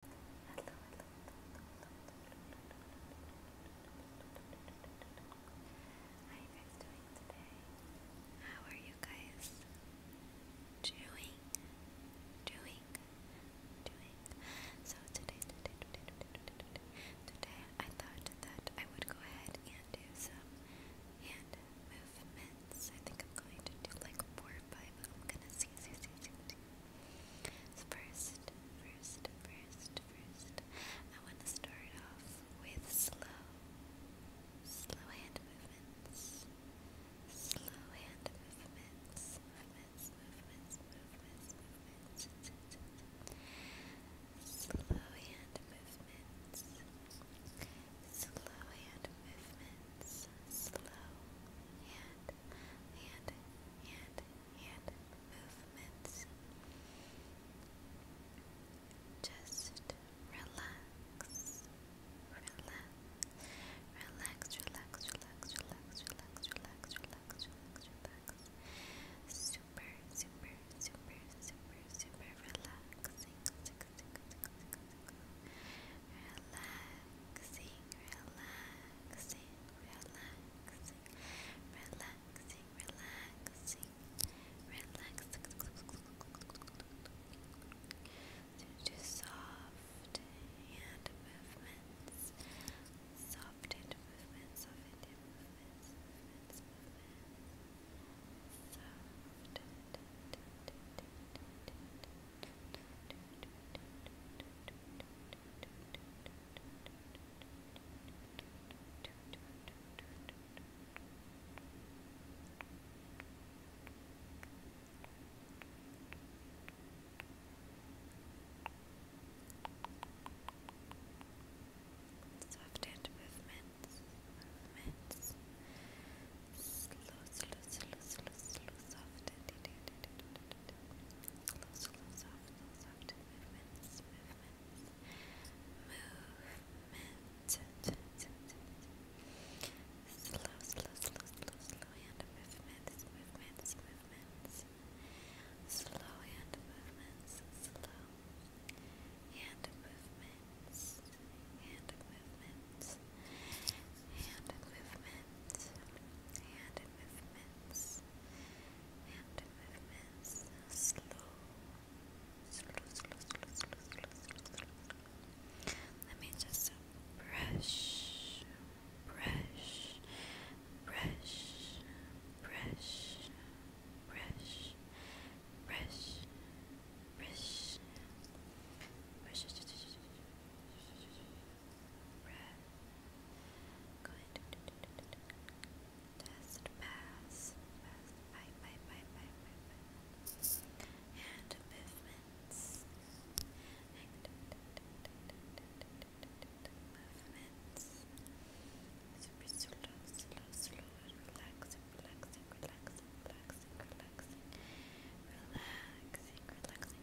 How you guys doing today? How are you guys doing? Doing? Doing? So today, today, today, today, today, today, I thought that I would go ahead and do some hand movements. I think I'm going to do like four or five. I'm gonna see, see, see, see, see. So first, first, first, first, I want to start off with slow, slow hand movements, slow hand movements, movements, movements, movements, movements, slow hand movements, slow hand movements, slow hand, hand, hand, hand movements. Just relax, relax, relax, relax, relax, relax, relax, relax, relax, relax, relax. Super, super, super, super, super relaxing. Tick, tick, tick, tick, tick, relaxing, relaxing, relaxing, relaxing, relaxing, relaxing. To soft hand movements, soft hand movements, soft hand movements, movements, movements, soft. Soft, Soft hand movements, movements, slow, slow, slow, slow, slow, soft, slow, slow, soft, slow, soft movements, movements, movement, slow, slow, slow, slow, slow hand movements, movements, movements, slow hand movements, slow hand movements, hand movements, hand movements movements, hand Let me just brush, brush, brush, brush, brush, brush, brush, brush, Red. Good. Test pass. Pass. Bye, bye, bye, bye, bye, bye. And movements. And movements. Super slow, slow, slow. Relaxing, relaxing, relaxing, relaxing, relaxing. Relaxing, relaxing,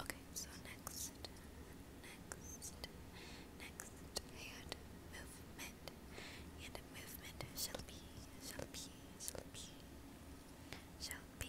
Okay, so next, next, next hand movement, and movement shall be, shall be, shall be, shall be,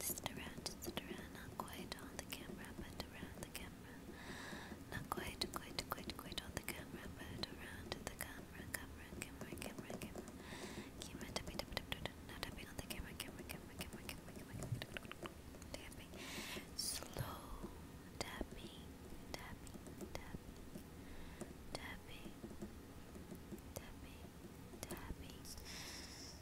Just around, just around, not quite on the camera, but around the camera. Not quite, quite, quite, quite on the camera, but around the camera, camera, camera, camera, camera. Camera, tapping, tapping, tapping, not tapping on the camera, camera, camera, camera, camera, camera, tapping. Slow tapping, tapping, tapping, tapping, tapping, tapping.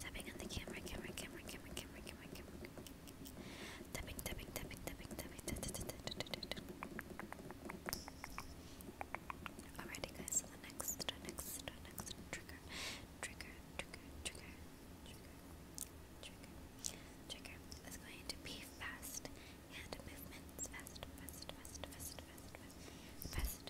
Tapping on the camera, camera, camera, camera, camera, camera, camera. Tapping, tapping, tapping, tapping, tapping. Alrighty, guys. So the next, the next, the next trigger, trigger, trigger, trigger, trigger, trigger, trigger is going to be fast hand movements, fast, fast, fast, fast, fast, fast, fast,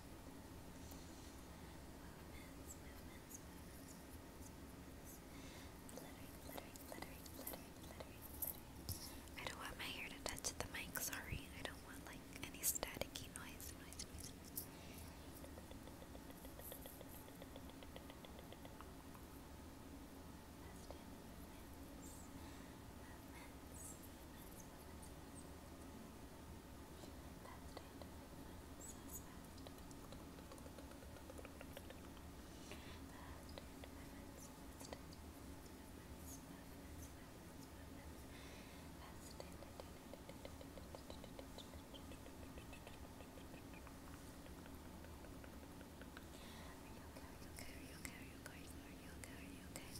I don't want my hair to touch the mic, sorry. I don't want like any staticky noise, okay? you Are you okay? Are you okay? Are you okay? Are you okay?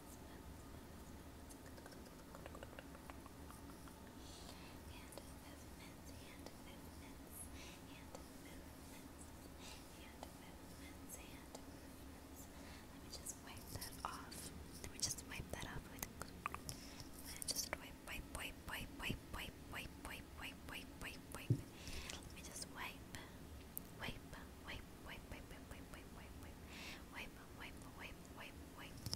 Let me just wipe that off. Let me just wipe that off with just wipe, wipe, wipe, wipe, wipe, wipe, wipe, wipe, wipe, wipe, wipe. Let me just wipe, wipe, wipe wipe, wipe, wipe, wipe, wipe, wipe, wipe, wipe, wipe, wipe, wipe, wipe.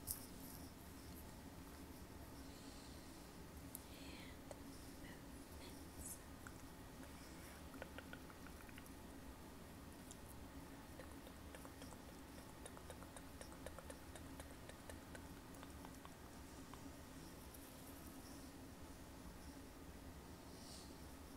And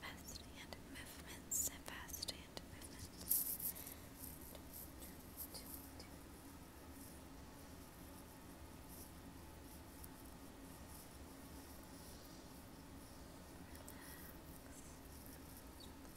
Fast hand movements fast hand movements.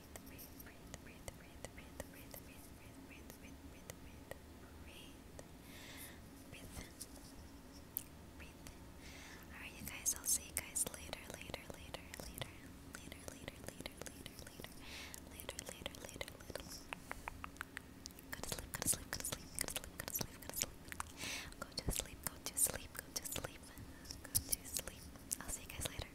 breathe, breathe, breathe, breathe, breathe, breathe, breathe, breathe, breathe, breathe, breathe, breathe, breathe, breathe, breathe. Alright, you guys, I'll see you guys later, later, later, later, later, later, later, later, later, later, later, later, later. Go to sleep, go to sleep, go to sleep, go to sleep, go to sleep, go to sleep. Go to sleep, go to sleep, go to sleep, go to sleep. I'll see you guys later.